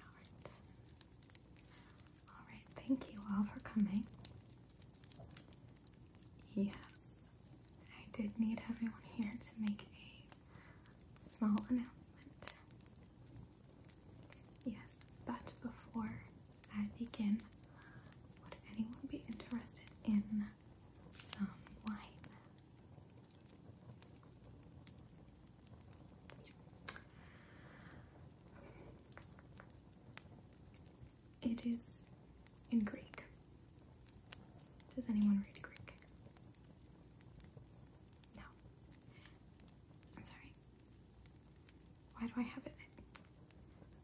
Alright. Alright, thank you all for coming. Yes, I did need everyone here to make a small announcement. Yes, but before I begin, would anyone be interested in some wine. It is in Greek. Does anyone read Greek? No. I'm sorry. Why do I have it?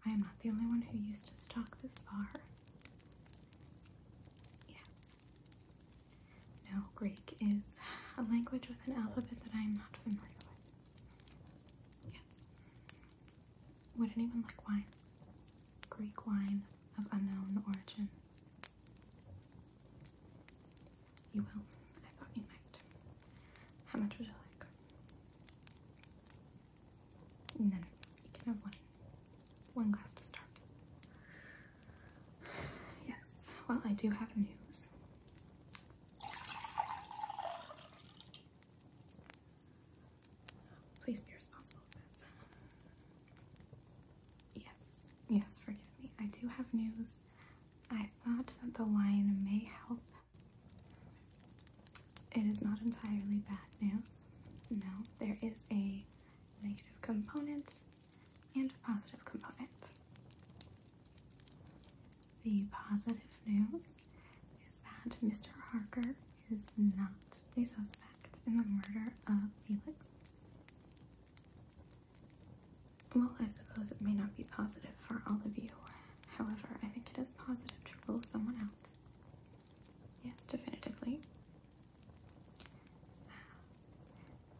I am not the only one who used to stalk this bar. Yes. No, Greek is a language with an alphabet that I am not familiar with. Yes. Would anyone like wine? Greek wine of unknown origin. You will. I thought you might. How much would you like? No, you can have one. One glass to start. Yes, well, I do have news. Please be responsible Yes, yes, forgive me. I do have news. I thought that the wine may help it is not entirely bad news. No, there is a negative component and a positive component. The positive news is that Mr. Harker is not a suspect in the murder of Felix. Well, I suppose it may not be positive for all of you. However, I think it is positive to rule someone out. Yes, definitively.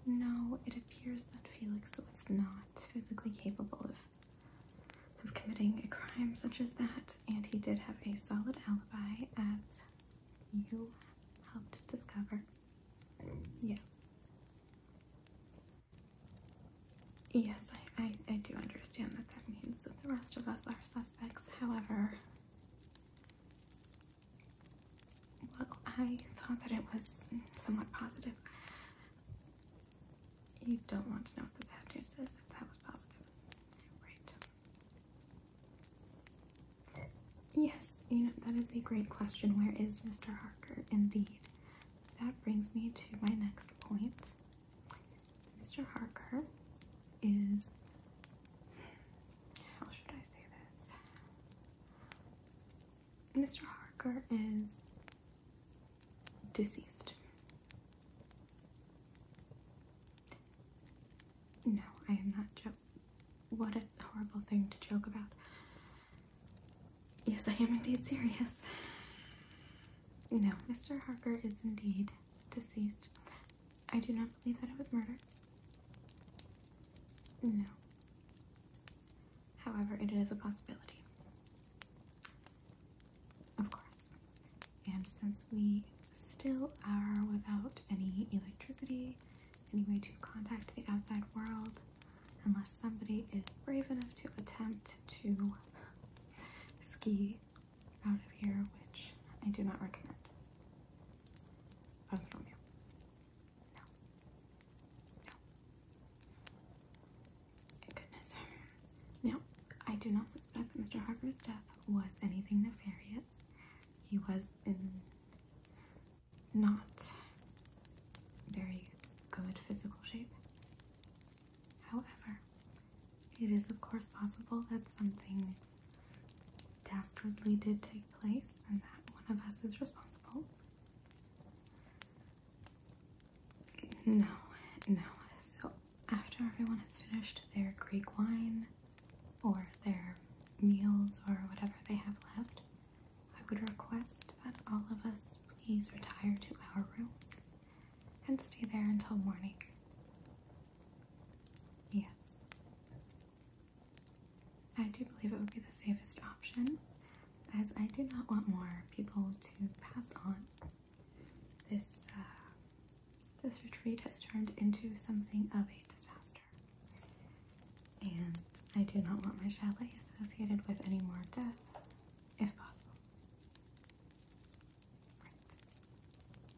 No, it appears that Felix was not physically capable of of committing a crime such as that, and he did have a solid alibi, as you helped discover. Yes. Yes, I, I, do understand that that means that the rest of us are However, well, I thought that it was somewhat positive. You don't want to know what the bad news is if that was positive. Right. Yes, you know, that is a great question. Where is Mr. Harker? Indeed. That brings me to my next point. Mr. Harker is how should I say this? Mr. Harker is deceased. No, I am not joking. What a horrible thing to joke about. Yes, I am indeed serious. No, Mr. Harker is indeed deceased. I do not believe that it was murder. No. However, it is a possibility. Of course. And since we still are without any electricity, any way to contact the outside world, unless somebody is brave enough to attempt to ski out of here, which I do not recommend. Other from you. No. No. Goodness. Now, I do not suspect that Mr. Harper's death was anything nefarious. He was in not very good physical shape. However, it is of course possible that something dastardly did take place and that one of us is responsible. No, no. So, after everyone has finished their Greek wine or their meals or whatever they have left, I would request that all of us please retire to our rooms and stay there until morning. Yes. I do believe it would be the safest option, as I do not want more people to pass on. This uh, this retreat has turned into something of a disaster, and I do not want my chalet associated with any more death, if possible.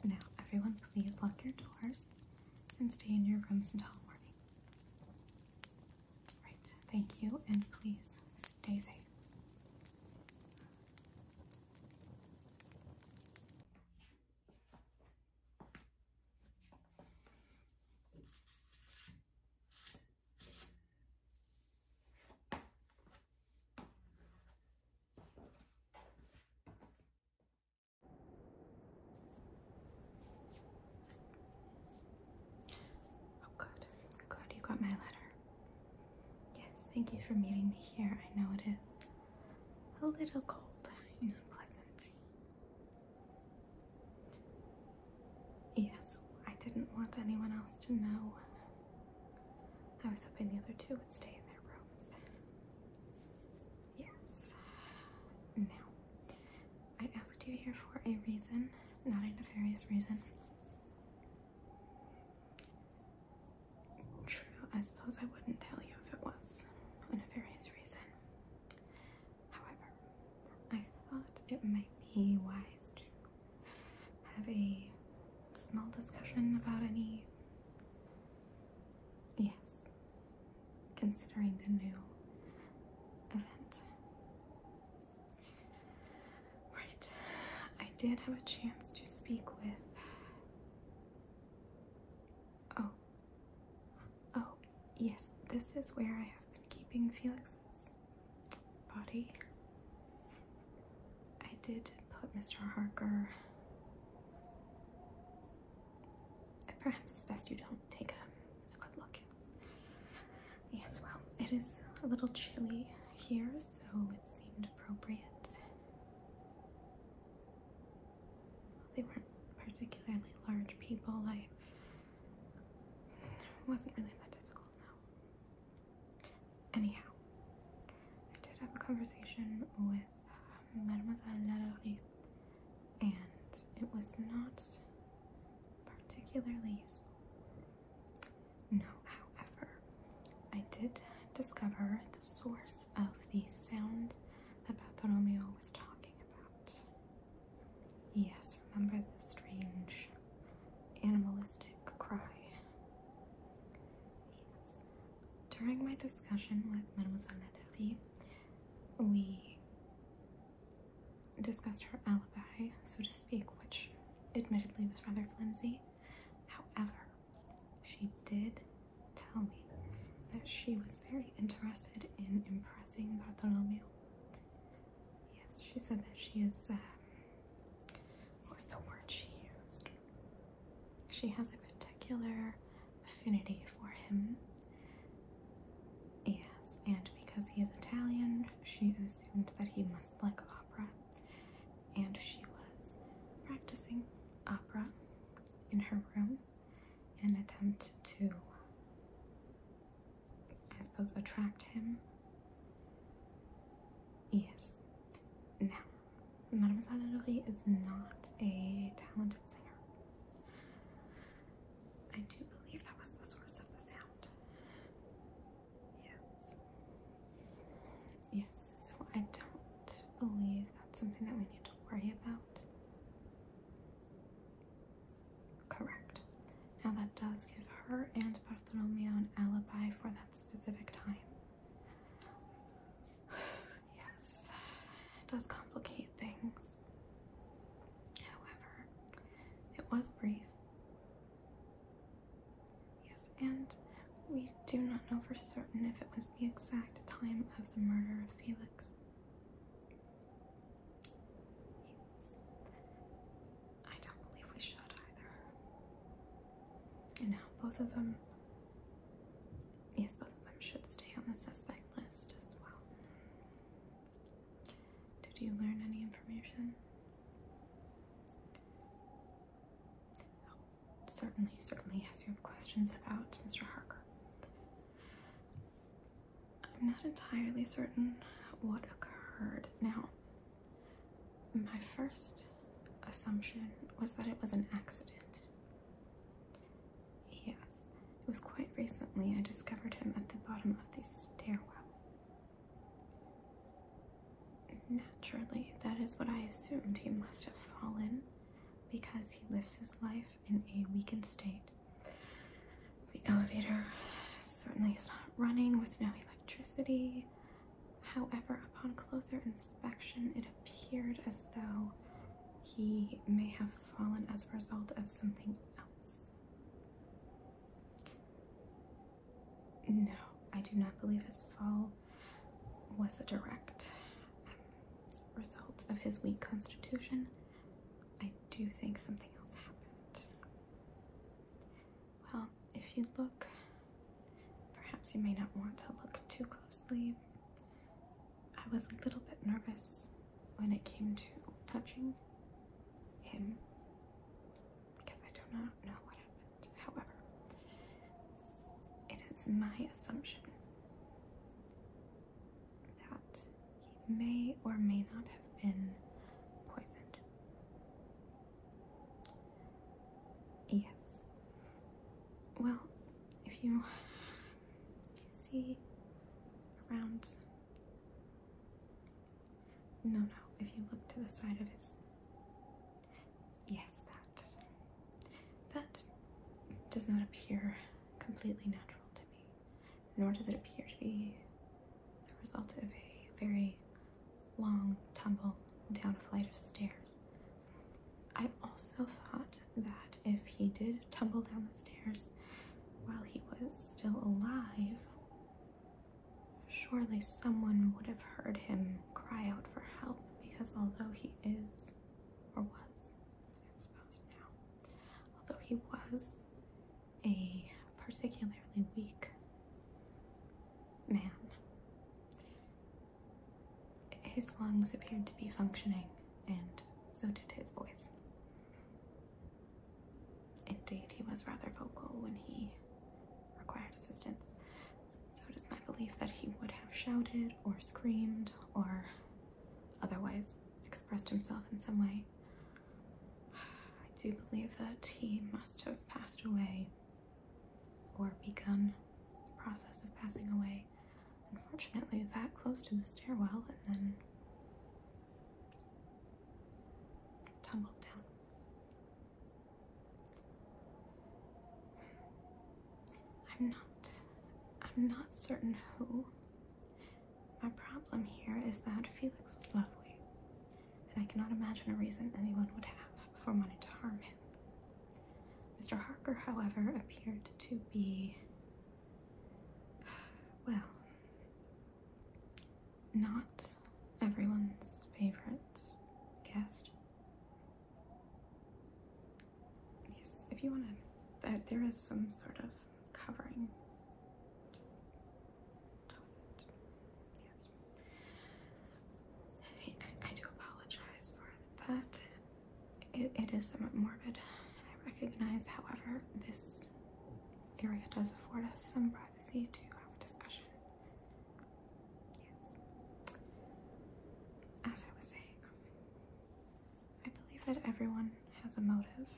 Now, everyone, please lock your doors and stay in your rooms until morning. Right. Thank you, and please stay safe. Oh, good. Good. You got my letter. Yes, thank you for meeting me here. I know it is a little cold and unpleasant. Yes, I didn't want anyone else to know I was hoping the other two would stay in their rooms. Yes. Now, I asked you here for a reason, not a nefarious reason. True, I suppose I wouldn't tell you if it was a nefarious reason. However, I thought it might be wise to have a small discussion about any. Yes. Considering the new event. Right. I did have a chance to speak with. Oh. Oh, yes. This is where I have been keeping Felix's body I did put Mr. Harker. Perhaps it's best you don't take a, good look. Yes, well, it is a little chilly here, so it seemed appropriate. They weren't particularly large people. I wasn't really that difficult, no. Anyhow, I did have a conversation with um, Mademoiselle Lalaurie, and it was not particularly useful. No, however, I did discover the source of the sound that Bartolomeo was talking about. Yes, remember the strange animalistic cry during my discussion with Mademoiselle Naderie, we discussed her alibi, so to speak, which admittedly was rather flimsy. However, she did tell me that she was very interested in impressing Bartolomeo. Yes, she said that she is um, what was the word she used? She has a particular affinity for him. Yes, and because he is Italian, she assumed that he must like opera, and she was practicing opera in her room in an attempt to, I suppose, attract him Yes. Now, Mademoiselle Lurie is not a talented singer. I do believe that was the source of the sound. Yes. Yes, so I don't believe that's something that we need to worry about. Correct. Now that does give her and Bartolomeo an alibi for that specific time yes, it does complicate things. However, it was brief. Yes, and we do not know for certain if it was the exact time of the murder of Felix. Yes. I don't believe we should either. And now both of them, yes, both of them should stay on the suspect list as well. Did you learn any information? Oh, certainly, certainly, as you have questions about Mr. Harker. I'm not entirely certain what occurred. Now, my first assumption was that it was an accident. Yes, it was quite recently I discovered him at the bottom of the stairwell. Naturally, that is what I assumed. He must have fallen because he lives his life in a weakened state. The elevator certainly is not running with no electricity. However, upon closer inspection, it appeared as though he may have fallen as a result of something else. No, I do not believe his fall was a direct um, result of his weak constitution. I do think something else happened. Well, if you look, perhaps you may not want to look too closely. I was a little bit nervous when it came to touching him because I do not know what happened. However, it is my assumption that he may or may not have been poisoned. Yes. Well, if you see around. No, no, if you look to the side of his. Yes, that. That does not appear completely natural to me, nor does it appear to be the result of a very long tumble down a flight of stairs. I also thought that if he did tumble down the stairs while he was still alive, surely someone would have heard him cry out for help because although he is, or was, I suppose now, although he was a particularly weak man. His lungs appeared to be functioning, and so did his voice. Indeed, he was rather vocal when he required assistance. So it is my belief that he would have shouted or screamed or otherwise expressed himself in some way. I do believe that he must have passed away or begun the process of passing away. Unfortunately, that close to the stairwell and then tumbled down. I'm not I'm not certain who. My problem here is that Felix was lovely and I cannot imagine a reason anyone would have for wanting to harm him. Mr. Harker, however, appeared to be, well, not everyone's favorite guest. Yes, if you want to, that there is some sort of covering. I, do apologize for that. it is somewhat morbid. I recognize, however, this area does afford us some privacy to have a discussion. Yes. As I was saying, I believe that everyone has a motive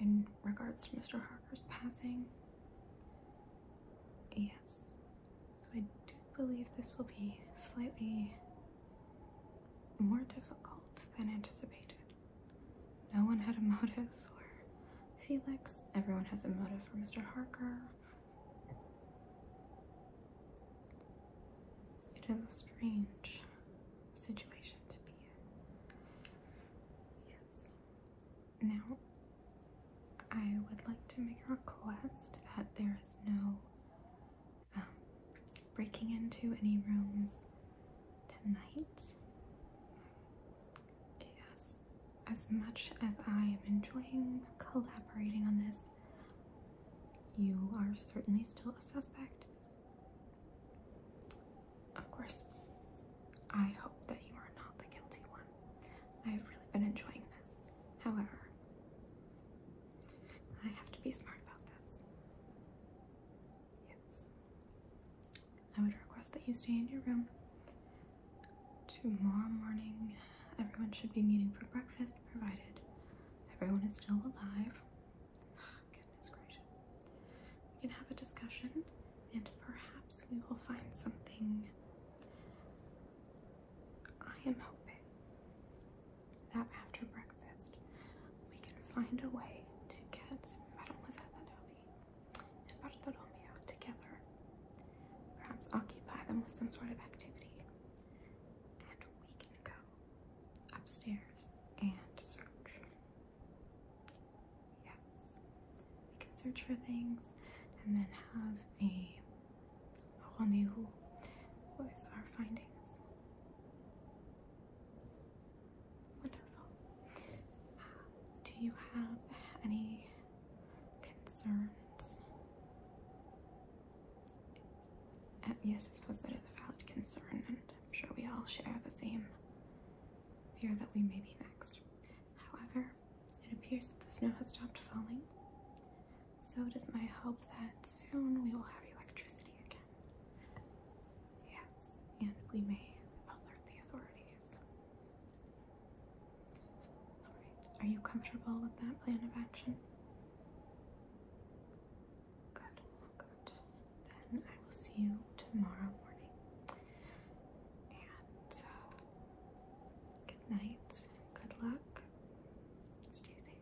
in regards to Mr. Harker's passing. Yes. So I do believe this will be slightly more difficult than anticipated. No one had a motive for Felix. Everyone has a motive for Mr. Harker. It is a strange situation to be in. Now, I would like to make a request that there is no um, breaking into any rooms tonight. Yes, as much as I am enjoying collaborating on this, you are certainly still a suspect. Of course, I hope that you are not the guilty one. I have really been enjoying this. However, I have to be smart about this. Yes. I would request that you stay in your room. Tomorrow morning, everyone should be meeting for breakfast, provided everyone is still alive. Goodness gracious we can have a discussion and perhaps we will find something. I am hoping that after breakfast we can find a way to get Mademoiselle Anoki and Bartolomeo together. Perhaps occupy them with some sort of activity. And we can go upstairs and search Yes. We can search for things and then have a rendezvous with our findings. Wonderful. Uh, do you have any concerns? Uh, yes, I suppose that is a valid concern, and I'm sure we all share the same fear that we may be next. However, it appears that the snow has stopped falling, so it is my hope that soon we will have electricity again. Yes, and we may alert the authorities. Alright, are you comfortable with that plan of action? Good, good. Then I will see you tomorrow morning. Uh, good night, good luck, stay safe.